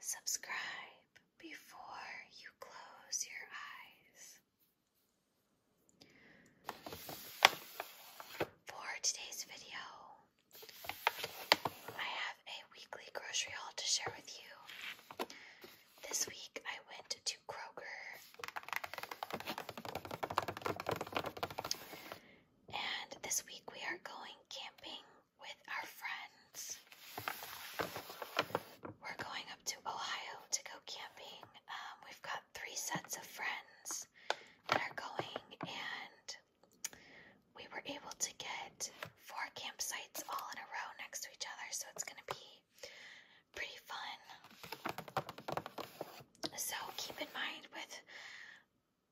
Subscribe before you close your eyes. For today's video, I have a weekly grocery haul to share with you. This week I went to Kroger. And this week we are going camping with our friends. We're going up to Ohio to go camping. Um, we've got three sets of friends that are going, and we were able to get four campsites all in a row next to each other, so it's going to be pretty fun. So keep in mind with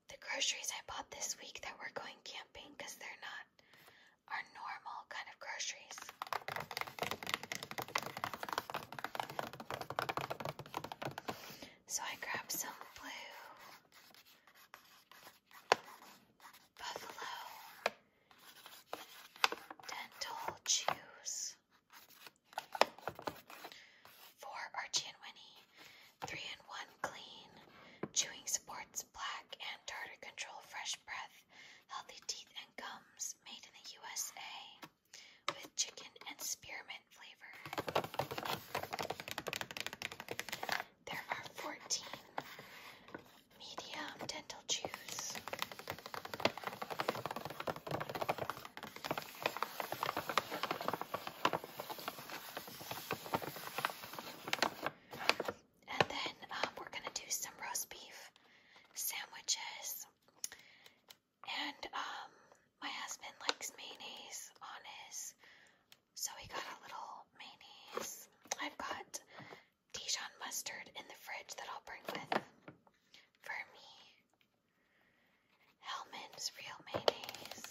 the groceries I bought this week that we're going camping because they're not our normal kind of groceries. So I grabbed some blue buffalo dental chews for Archie and Winnie. Three in one clean. Chewing supports Black and tartar control, fresh breath, healthy teeth and gums. Made in the USA with chicken and spearmint flavor. There are 14 medium dental chews. And then um, we're going to do some roast beef sandwiches. And um, my husband likes mayonnaise on his, so he got a little mayonnaise. I've got Dijon mustard in the fridge that I'll bring with for me. Hellman's Real Mayonnaise.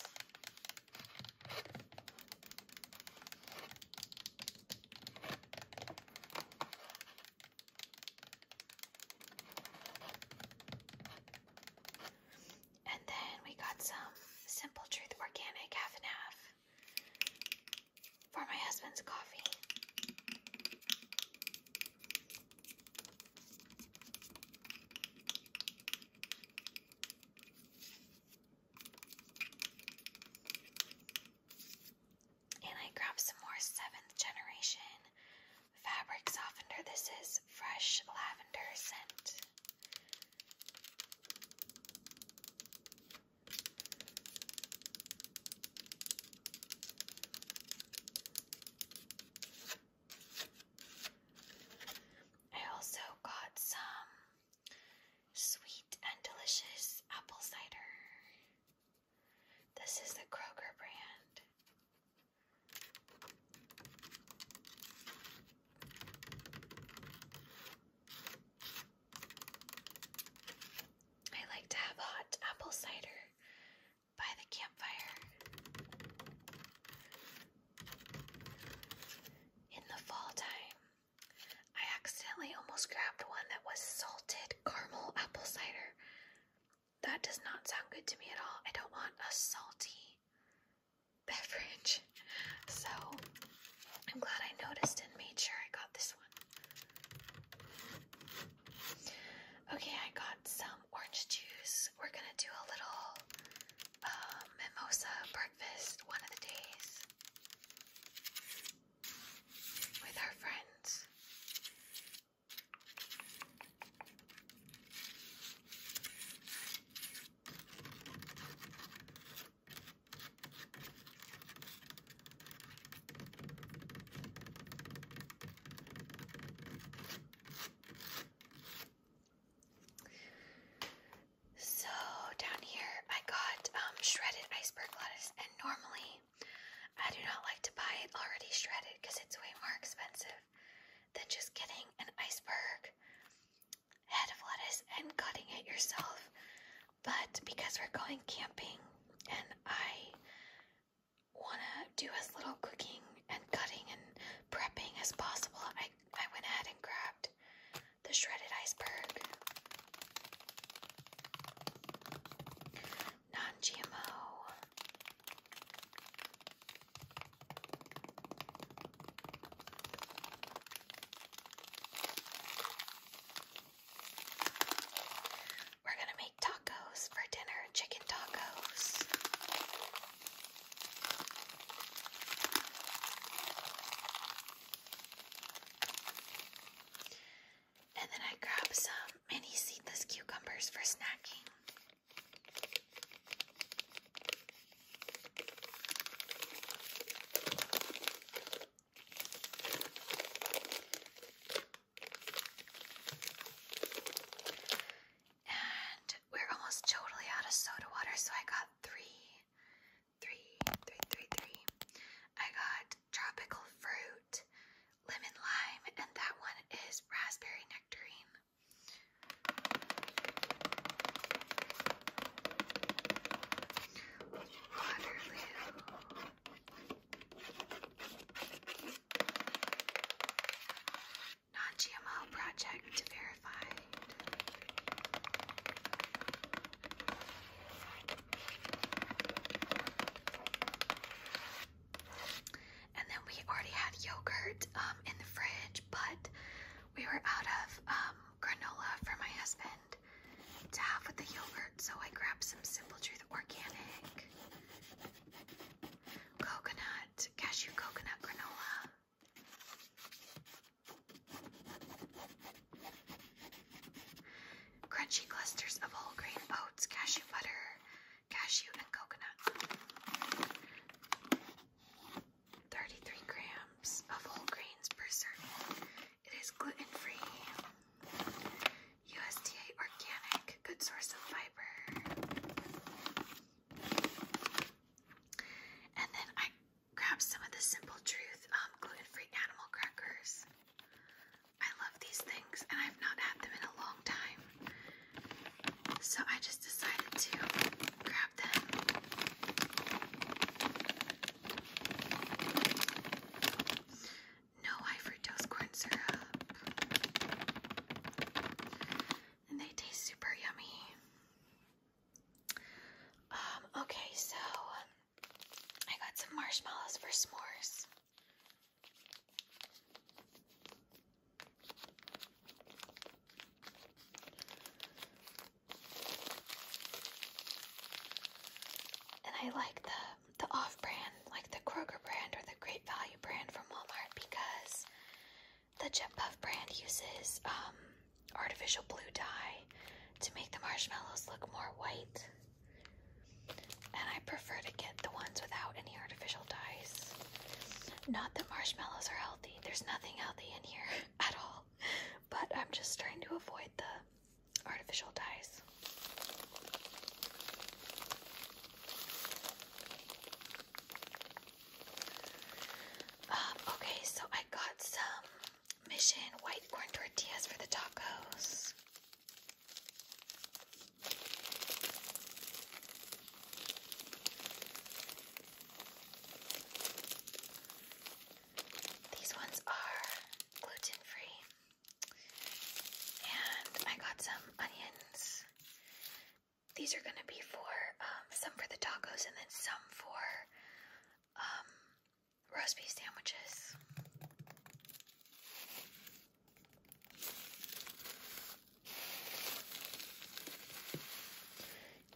And then we got some Simple Truth Organic half and half for my husband's coffee. And I grabbed some more seventh generation fabric softener. This is fresh lavender scent. I also got some sweet and delicious apple cider. This is the Kroger brand. I like to have hot apple cider by the campfire. In the fall time, I accidentally almost grabbed one that was salted caramel apple cider. That does not sound good to me at all. I don't want a salty beverage. So I'm glad I noticed and made sure I got this one. Okay, I got some orange juice. We're gonna do a little uh, mimosa breakfast one of the days with our friends. So down here I got um, shredded iceberg lettuce and normally I do not like to buy it already shredded because it's way more expensive than just getting an iceberg head of lettuce and cutting it yourself. But because we're going camping and I want to do as little cooking and cutting and prepping as possible, I, I went ahead and grabbed the shredded iceberg. Non GMO. We're going to make tacos for dinner, chicken tacos. And then I grab some mini seedless cucumbers for snacking. And we're almost totally out of soda water, so I got three, three, three, three, three. I got tropical fruit, lemon lime, and that one is raspberry nectarine. Non-GMO project verified. And then we already had yogurt um, in the fridge, but we were out of um, granola for my husband to have with the yogurt, so I grabbed some Simple Truth Organic coconut, cashew coconut granola. Crunchy clusters of whole grain oats, cashew butter, cashew, and coconut. 33 grams of whole grains per serving. It is gluten free. USDA organic, good source of fiber. And then I grabbed some of the Simple Truth um, gluten-free animal crackers. I love these things and I've not had them in a long time. So I just decided to grab them no high fructose corn syrup. And they taste super yummy. Um, okay, so I got some marshmallows for s'mores. And I like the the off-brand, like the Kroger brand or the Great Value brand from Walmart, because the Jet Puff brand uses um, artificial blue dye to make the marshmallows look more white. And I prefer to get the ones without any artificial dyes. Not that marshmallows are healthy, there's nothing healthy in here at all. But I'm just trying to avoid the artificial dyes. Um, okay, so I got some Mission white corn tortillas for the tacos. These ones are gluten free. And I got some onions. These are gonna be for um, some for the tacos and then some for um, roast beef sandwiches.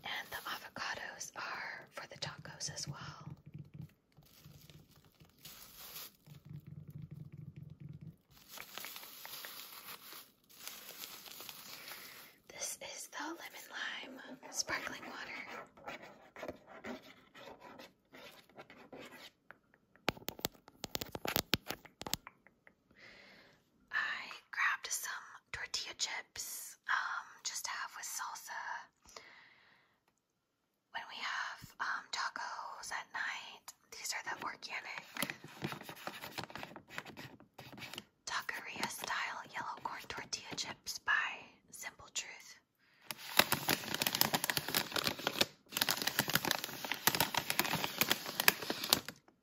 And the avocados are for the tacos as well. This is the lemon lime sparkling water. I grabbed some tortilla chips um just to have with salsa when we have um, tacos at night, these are the organic taqueria style yellow corn tortilla chips by Simple Truth.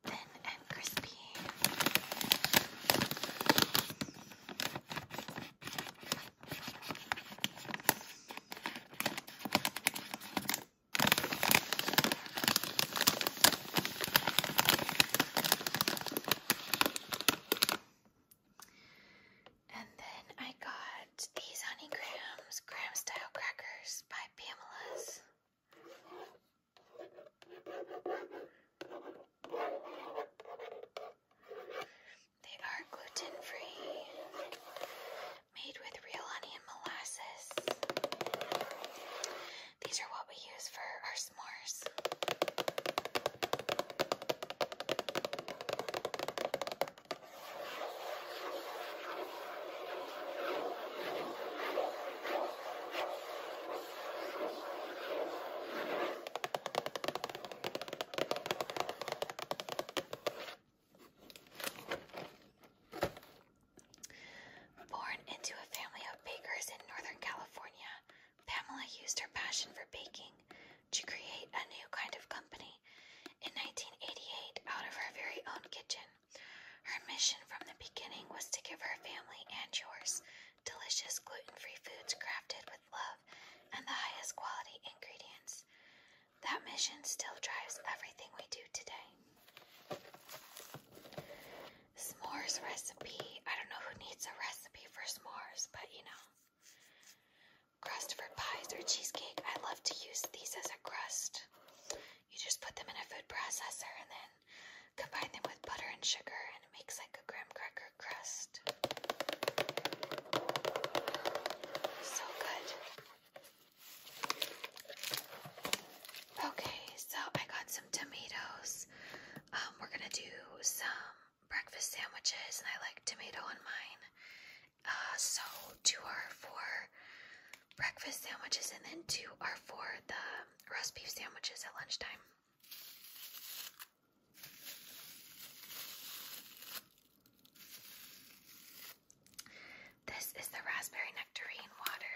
Thin and crispy. And then I got these Honey Grams Graham Style Crackers by Pamela's. They are gluten free, made with real honey and molasses. These are what we use for our s'mores. Born into a family of bakers in Northern California, Pamela used her passion for baking to create a new kind of company. In 1988, out of her very own kitchen, her mission from the beginning was to give her family and yours delicious gluten free foods crafted with love and the highest quality ingredients. That mission still drives everything we do today. S'mores recipe. I don't know who needs a recipe for s'mores, but you know. Crust for pies or cheesecake. I love to use these as a crust. You just put them in a food processor and then combine them with butter and sugar, and it makes like a graham cracker crust. So good. Okay, so I got some tomatoes. Um, we're gonna do some breakfast sandwiches, and I like tomato on mine. Uh, so two are for breakfast sandwiches, and then two are for the roast beef sandwiches at lunchtime. This is the raspberry nectarine water.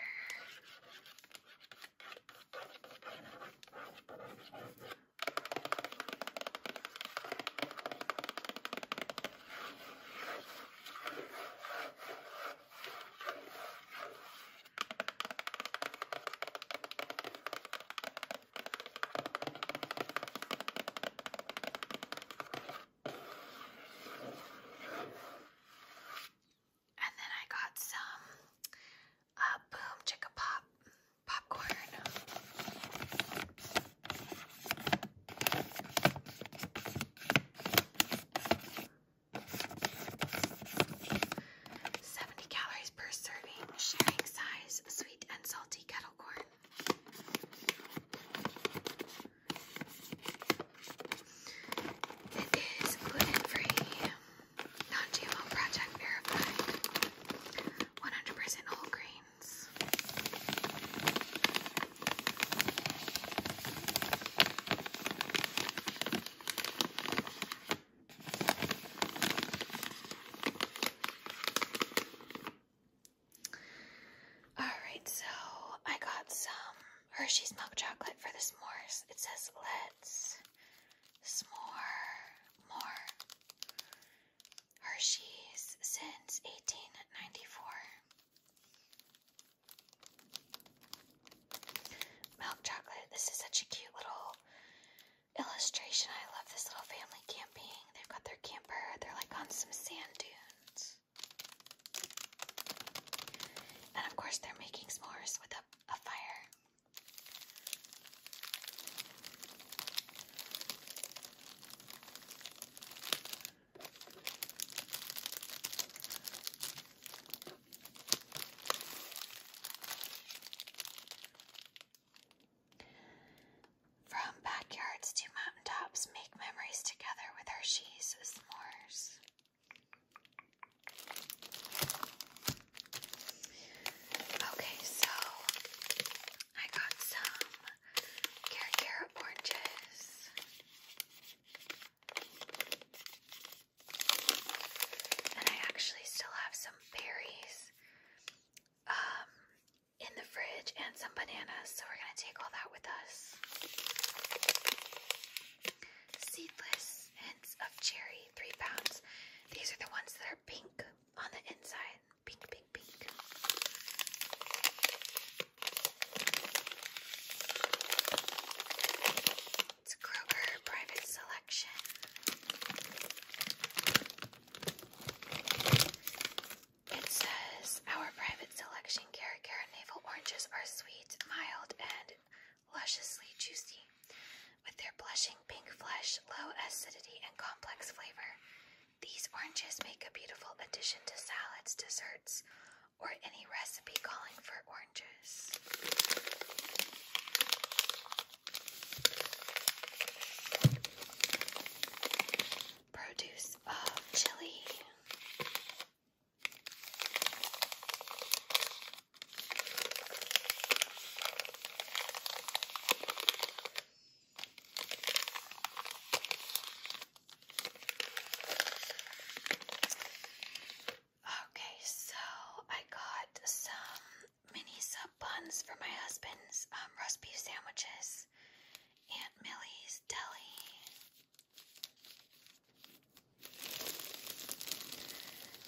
And then I got some uh, Boom Chicka Pop popcorn. Seventy calories per serving, sharing size sweet and salty kettle corn. It is gluten-free, non-GMO project verified, 100% whole grains. Alright, so I got some Hershey's milk chocolate for the s'mores. It says, let's s'more more. Hershey's since 1894. Milk chocolate. This is such a cute little illustration. I love this little family camping. They've got their camper. They're like on some sand dunes. And of course, they're making s'mores with a, a fire. From backyards to mountaintops, make memories together with Hershey's s'mores. Okay, so I got some Care Carrot oranges. And I actually still have some berries um, in the fridge and some bananas. So we're going to take all that with us. Seedless hints of cherry, three pounds. These are the ones that are pink on the inside. Pink, pink, pink. It's Kroger Private Selection. It says our private selection Carragara navel oranges are sweet, mild, and lusciously juicy, with their blushing pink flesh, low acidity, and complex flavor. These oranges make a beautiful addition to salads, desserts, or any recipe calling for oranges. Produce of Chile. Okay, so I got some mini sub buns for my husband's um, roast beef sandwiches, Aunt Millie's deli.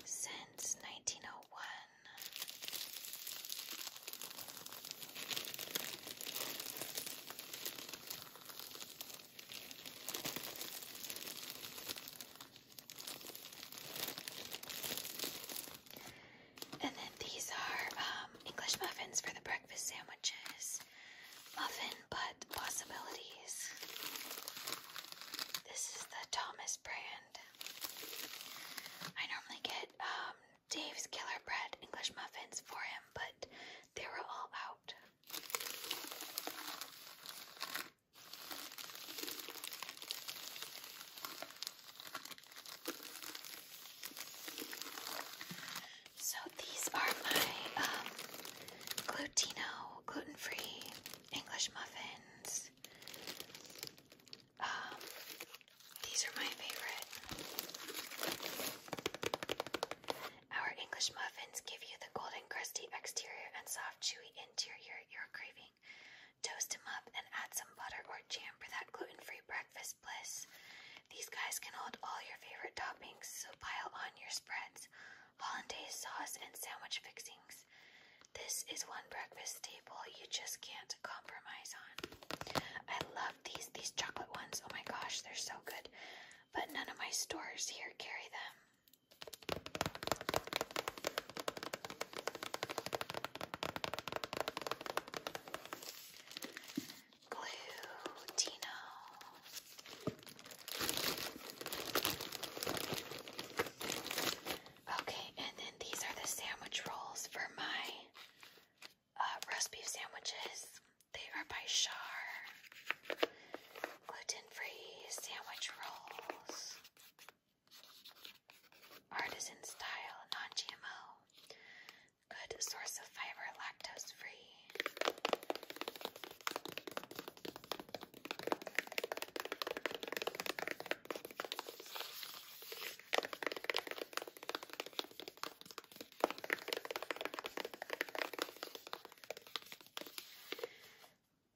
Since 1901. And then these are um, English muffins for the breakfast sandwiches. Muffin Butt Possibilities. This is the Thomas brand. I normally get um, Dave's Killer Bread English muffins for him, but they were all out. So these are my um, gluten-free English muffins. Um, these are my favorite. Our English muffins give you the golden crusty exterior and soft chewy interior you're craving. Toast them up and add some butter or jam for that gluten free breakfast bliss. These guys can hold all your favorite toppings, so pile on your spreads, hollandaise sauce, and sandwich fixings. This is one breakfast staple you just can't compromise on. I love these, these chocolate ones. Oh my gosh, they're so good. But none of my stores here carry them. Glutino. Okay, and then these are the sandwich rolls for my uh, roast beef sandwiches. They are by Char. Gluten free sandwich rolls. Artisan style, non GMO. Good source of fiber, lactose free.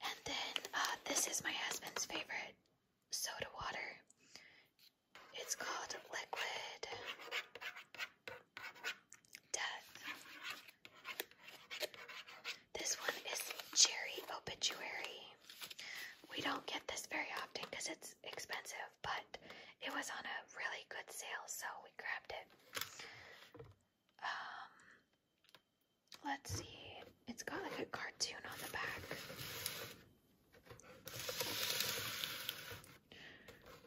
And then uh, this is my husband's favorite soda water. It's called Liquid Death. This one is Cherry Obituary. We don't get this very often because it's expensive, but it was on a really good sale, so we grabbed it. Um, Let's see. It's got like a cartoon on the back.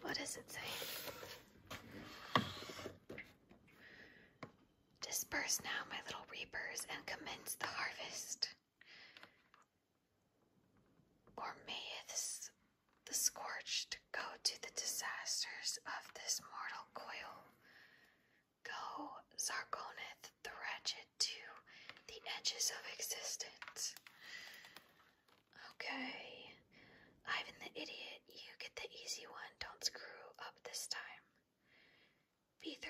What does it say? Disperse now, my little reapers, and commence the harvest. Or mayeth the scorched go to the disasters of this mortal coil. Go, Sargoneth the Wretched, to the edges of existence. Okay. Ivan the Idiot, you get the easy one. Don't screw up this time. B13, B13,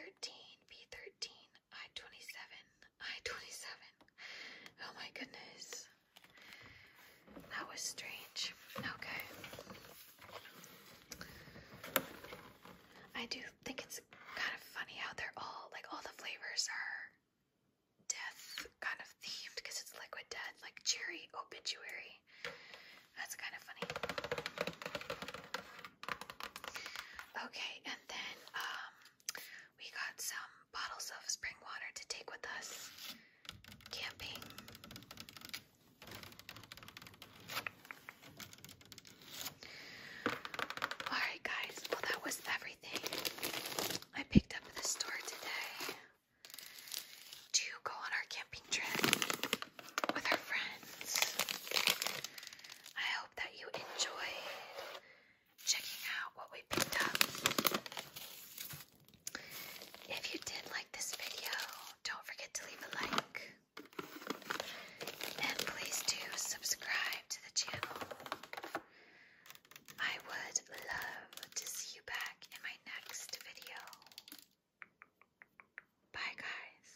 I-27, I-27. Oh my goodness. That was strange. Okay. I do think it's kind of funny how they're all like all the flavors are death kind of themed because it's liquid death, like cherry obituary. That's kind of funny. Okay, and then um, we got some bottles of spring water to take with us camping. Alright, guys, well, that was everything I picked up at the store today to go on our camping trip with our friends. I hope that you enjoyed checking out what we picked up. If you did like this video, don't forget to leave a like. And please do subscribe to the channel. I would love to see you back in my next video. Bye, guys.